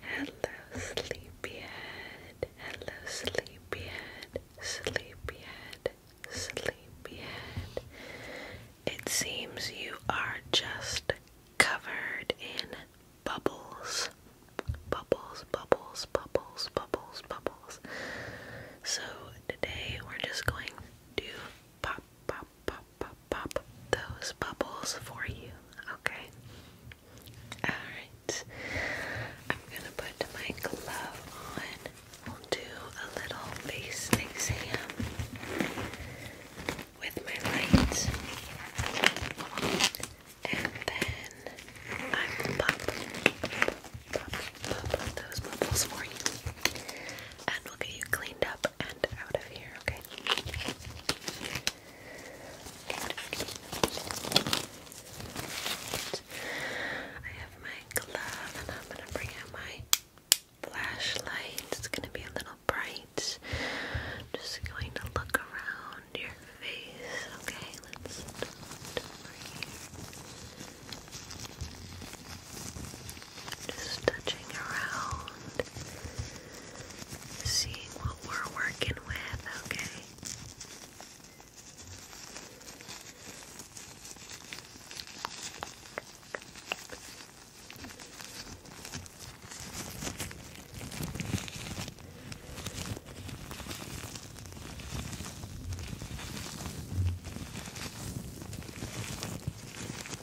Hello, sleepyhead. Hello, sleepyhead. Sleepyhead. Sleepyhead. It seems you are just covered in bubbles. Bubbles, bubbles, bubbles, bubbles, bubbles. So today we're just going to pop, pop, pop, pop, pop those bubbles for you, okay? Alright, I'm gonna put my glove on. We'll do a little face exam with my light, and then I will pop, pop, pop, pop those bubbles for you, and we'll get you cleaned up and out of here, okay? I have my glove and I'm gonna bring out my flashlight. It's gonna be a little bright. I'm just going to look around your face. Okay, let's start over here. Just touching around, seeing what we're working with, okay?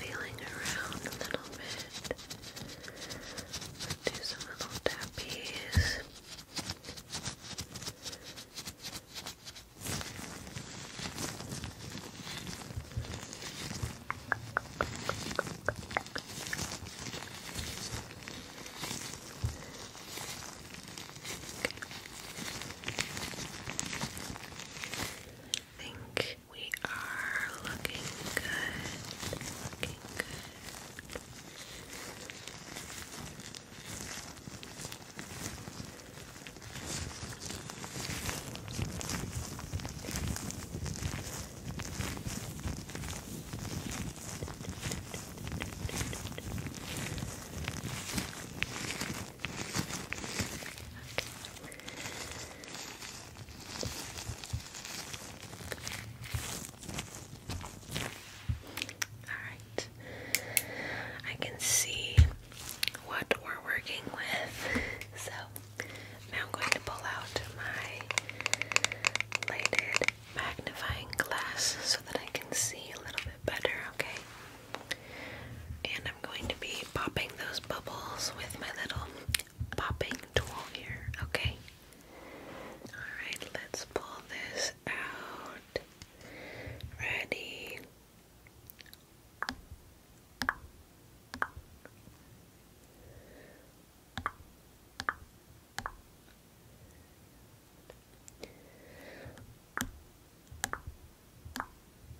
Feeling around a little bit do some little tappies. I think we are looking good. Looking good. Alright, I can see what we're working with. So now I'm going to pull out my lighted magnifying glass so that I can see a little bit better, okay? And I'm going to be popping those bubbles with my little popping tool here, okay? Alright, let's pull this out. Ready?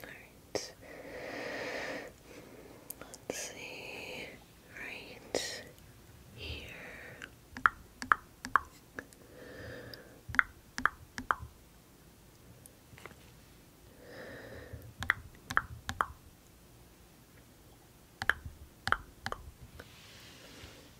Alright. Let's see. Right here.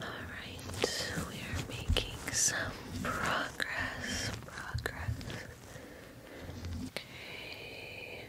Alright, we are making some progress. Progress. Okay.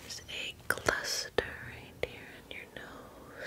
There's a cluster right here in your nose.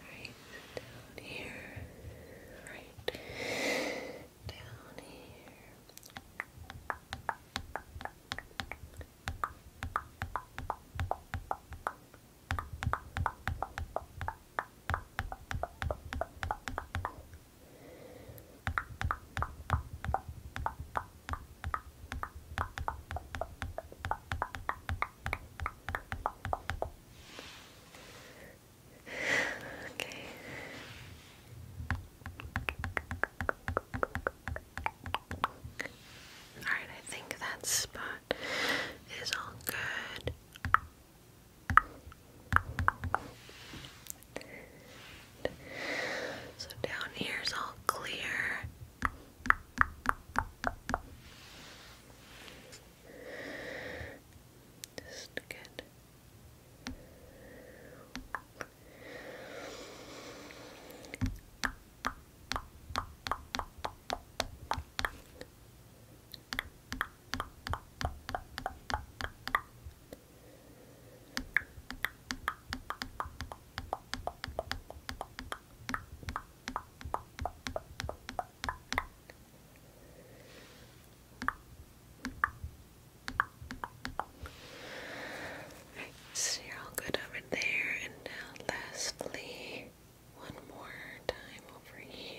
Right down here. Right down here okay. Alright, I think that spot is all good. So down here is all clear. Just good. Good so you're all good over there, and now lastly, one more time over here.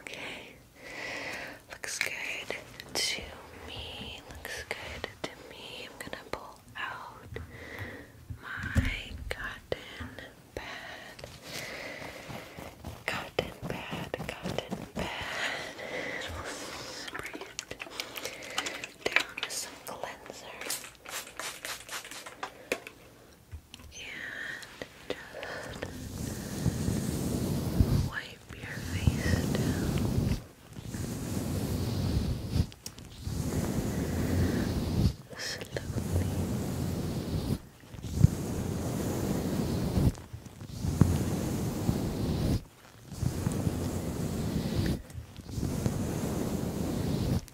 Okay. Looks good to me. Looks good to me. I'm gonna pull out my cotton pad. Cotton pad, cotton pad. we it down with some cleanser. And just wipe your face Slowly.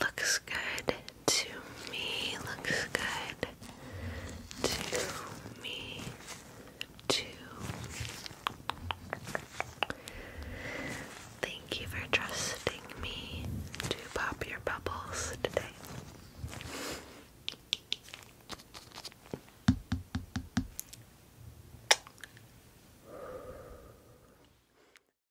looks good to me, looks good to me, too. Thank you for trusting me to pop your bubbles today.